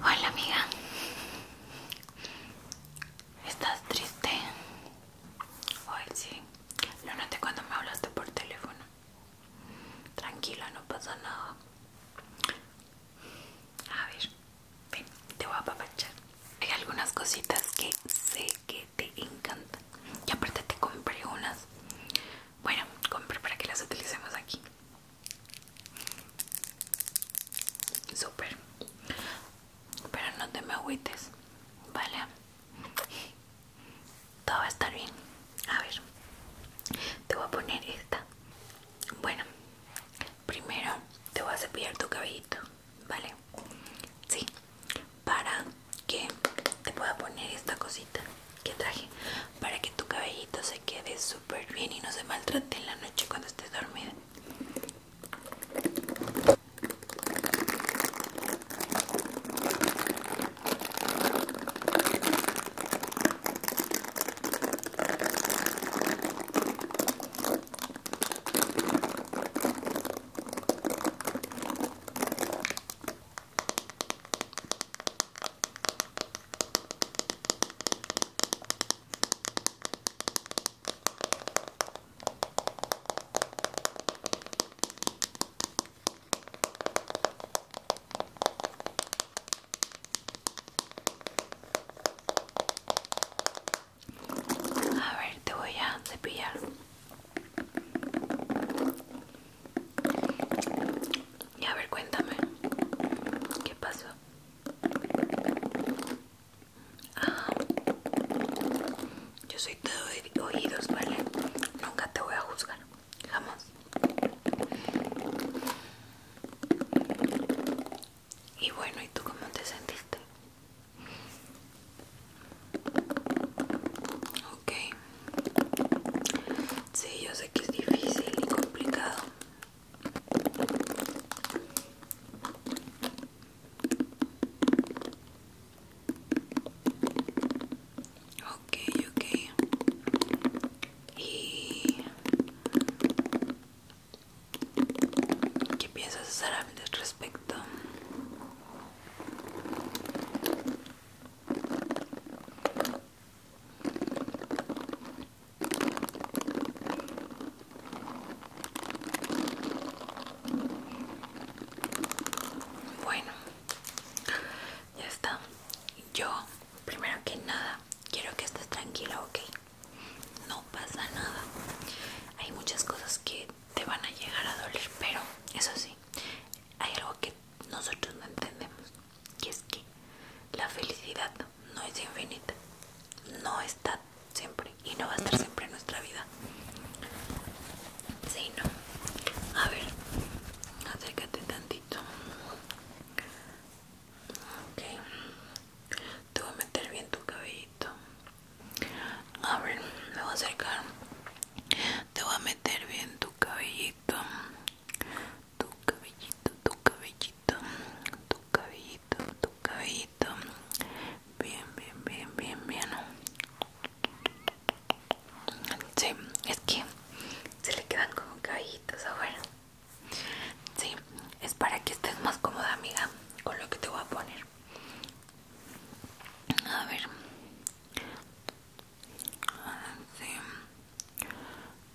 Hola amiga, ¿estás triste? Hoy sí, lo noté cuando me hablaste por teléfono. Tranquila, no pasa nada. A ver, ven, te voy a apapachar. Hay algunas cositas que sé que te encantan. Y aparte te compré unas. Bueno, compré para que las utilicemos aquí super Pero no te me agüites, ¿vale? Todo va a estar bien. A ver, te voy a poner esta. Bueno, primero te voy a cepillar tu cabellito, ¿vale? Sí, para que te pueda poner esta cosita que traje para que tu cabellito se quede súper bien y no se maltrate en la noche cuando estés dormida. A ver, te voy a cepillar. Y a ver, cuéntame. ¿Qué pasó? Ah, yo soy todo oídos, ¿vale? Nunca te voy a juzgar. Vamos Y bueno, ¿y tú cómo te sentiste? Ok. Sí, yo sé que es difícil y complicado. Ok, ok. ¿Y qué piensas hacer al respecto? Bueno, ya está. Yo, primero que nada, quiero que estés tranquila, ¿ok? No pasa nada. Hay muchas cosas que te van a llegar a doler, pero eso sí, hay algo que nosotros no entendemos. Y es que la felicidad no es infinita, no está siempre y no va a estar siempre en nuestra vida. Sí, no. A ver, acércate tantito. Ok, te voy a meter bien tu cabellito. A ver, me voy a acercar. Te voy a meter bien tu cabellito tu cabellito, tu cabellito, tu cabellito, tu cabellito. Bien, bien, bien, bien, bien. Sí, es que se le quedan como cabellitos ver ah, Sí, es para que estés más cómoda, amiga, con lo que te voy a poner. A ver. Ah, sí de este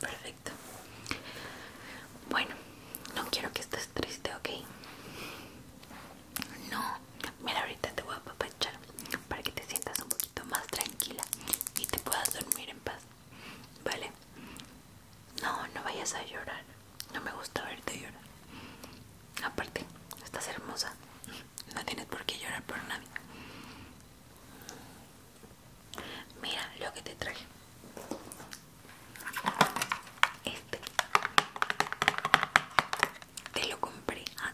Perfecto. Bueno, no quiero que estés triste, ¿ok? No, mira, ahorita te voy a apapachar para que te sientas un poquito más tranquila y te puedas dormir en paz, ¿vale? No, no vayas a llorar. No me gusta verte llorar. Aparte, estás hermosa. No tienes por qué llorar por nadie. Mira lo que te traje. Este. Te lo compré a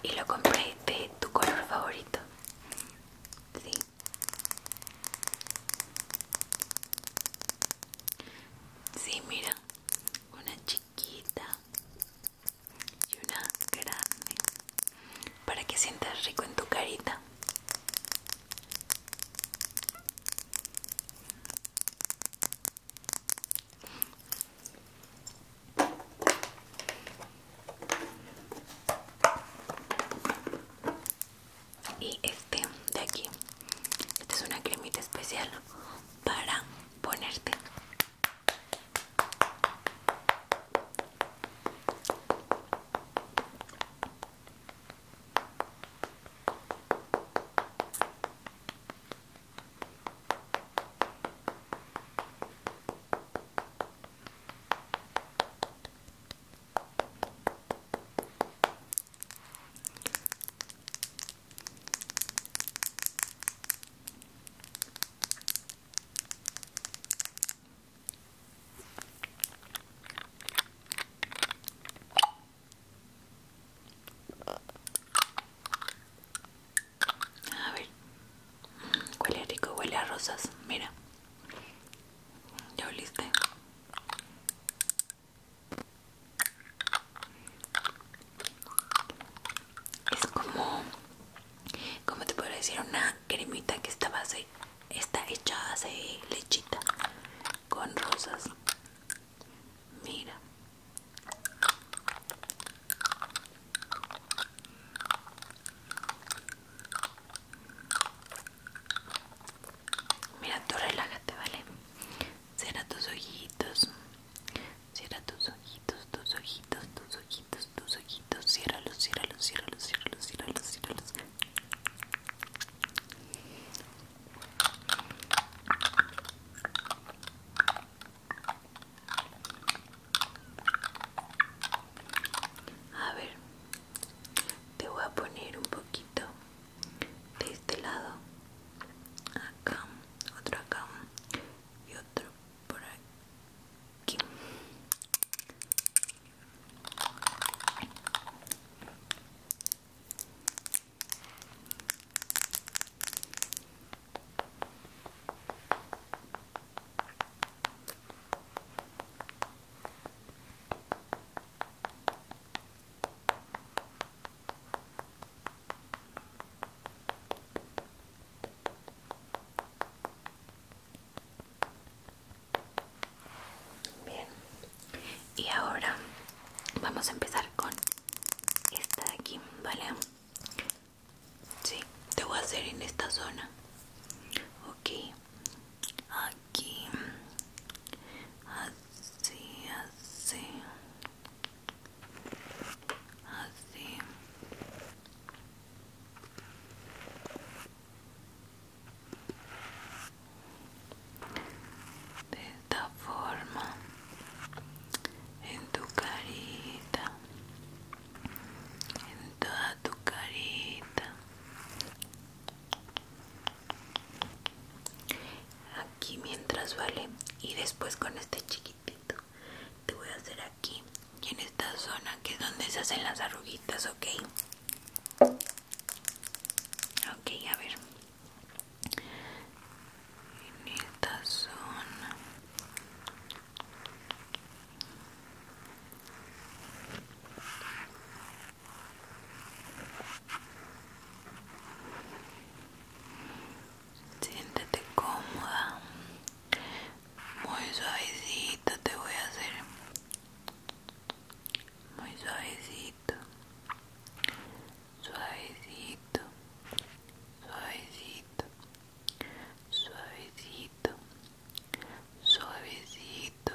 Y lo compré de tu color favorito. Sí. Sí, mira, una chiquita y una grande para que sientas rico en tu carita. Y este de aquí esta es una cremita especial para ponerte. A ver, huele rico, huele a rosas, mira, ya oliste es como como te puedo decir una cremita que está base está hecha de lechita con rosas mira Mira, tú relájate, ¿vale? Cierra tus ojitos. Cierra tus ojitos, tus ojitos, tus ojitos, tus ojitos. Ciérralos, ciérralos, ciérralos, ciérralos, ciérralos, los. A ver, te voy a poner un poquito de este lado acá otro acá y otro por aquí Bien, y ahora vamos a empezar con esta de aquí, ¿vale? Sí, te voy a hacer en esta zona. Ok, aquí, sim assim, assim. Desta forma, em tu carita, em toda tu carita, aquí mientras vale y después con este chiquitito te voy a hacer aquí y en esta zona que es donde se hacen las arruguitas ok ok a ver en esta zona Siéntete cómoda, muy suavecito te voy a hacer, muy suavecito, suavecito, suavecito, suavecito, suavecito,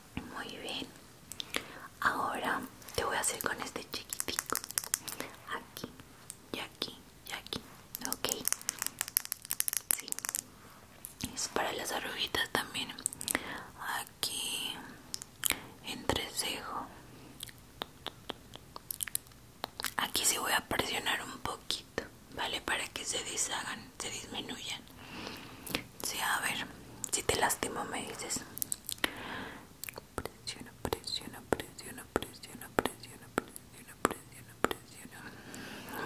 Muy bien. Ahora te voy a hacer con este chiquitico. Aquí, y aquí, y aquí. Ok. Sí. Es para las arruguitas también. Aquí. Entrecejo. Aquí se voy a presionar un poquito, ¿vale? Para que se deshagan, se disminuyan. Sí, a ver, si te lastimo me dices. Presiona, presiona, presiona, presiona, presiona, presiona, presiona, presiona.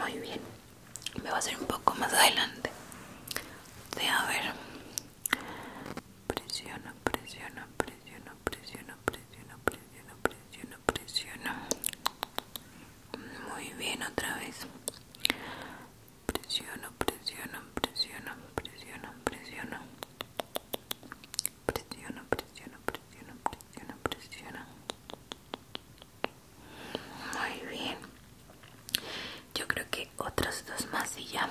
Muy bien. Me va a hacer un poco más adelante. Sí, a ver. Presiona, presiona, presiona, presiona, presiona, presiona, presiona, presiona. Muy bien, otra vez presiona presiona presiona presiona presiona presiona presiona presiona presiona presiono. Muy bien. Yo creo que otras dos más y ya.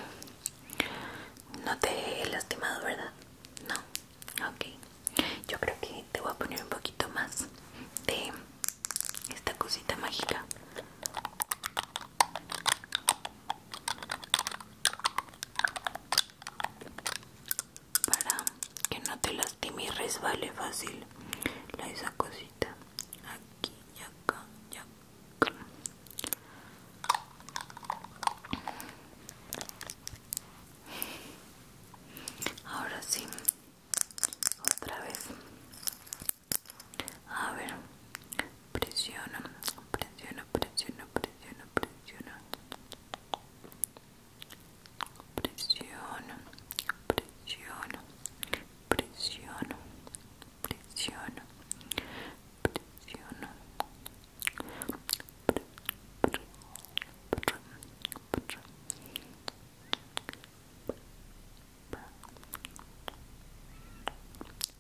No te he lastimado, ¿verdad? No. Ok. Yo creo que te voy a poner un poquito más de esta cosita mágica para que no te lastime y resbale fácil la esa cosita aquí y acá y ahora sí otra vez a ver, presiona, presiona, presiona, presiona, presiona. Presiona, presiona, presiona, presiona, presiona. Presiona,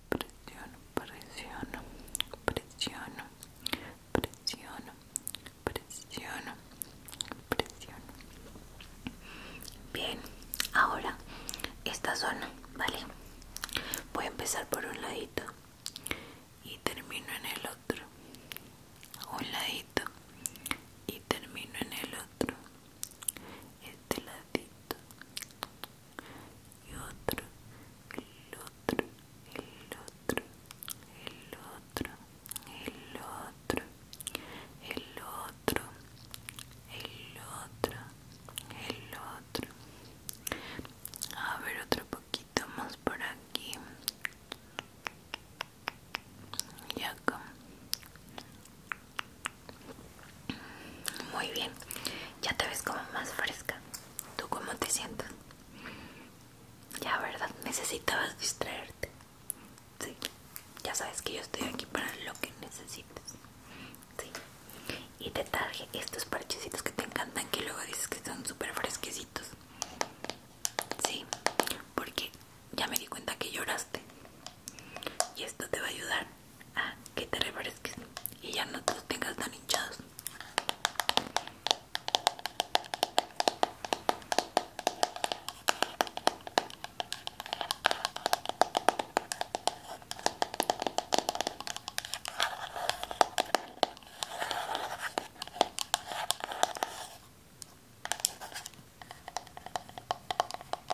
presiono, presiono, presiono, presiono, presiono, presiono. Bien, ahora esta zona, ¿vale? Voy a empezar por un ladito y termino en el otro. Un ladito y termino en el otro. Este ladito y otro, el otro, el otro, el otro, el otro, el otro, el otro, el otro. A ver otro poquito más por aquí y acá muy bien, ya te ves como más fresca. ¿Tú cómo te sientes? Ya, ¿verdad? Necesitabas distraerte. Sí, ya sabes que yo estoy aquí para lo que necesites. Sí. Y te traje estos parchecitos que te encantan, que luego dices que están súper fresquecitos. Sí, porque ya me di cuenta que lloraste y esto te va a ayudar a que te refresques y ya no te los tengas tan hinchados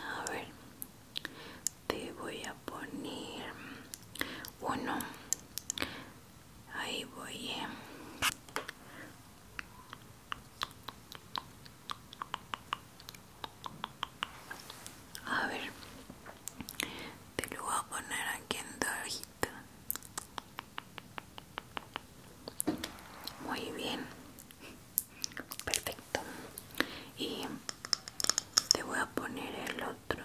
A ver, te voy a poner uno. Ahí voy. Eh. A ver, te lo voy a poner aquí en dos muy bien perfecto y te voy a poner el otro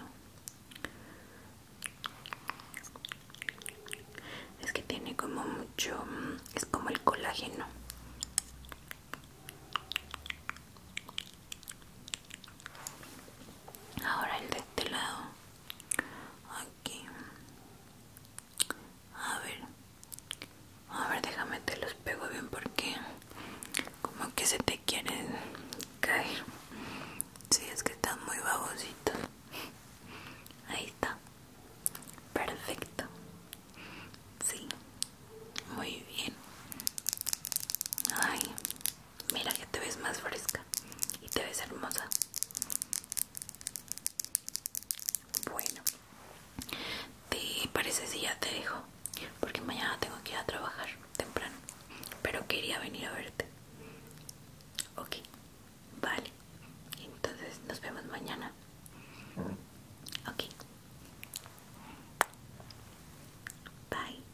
es que tiene como mucho mm, es como el colágeno ahora el de este lado aquí a ver a ver déjame te los pego bien porque como que se te quieren caer si sí, es que están muy babositos ahí está perfecto sí muy bien ay Mira que te ves más fresca y te ves hermosa. Bueno, ¿te parece si ya te dejo? Porque mañana tengo que ir a trabajar temprano. Pero quería venir a verte. Ok, vale. Entonces nos vemos mañana. Ok. Bye.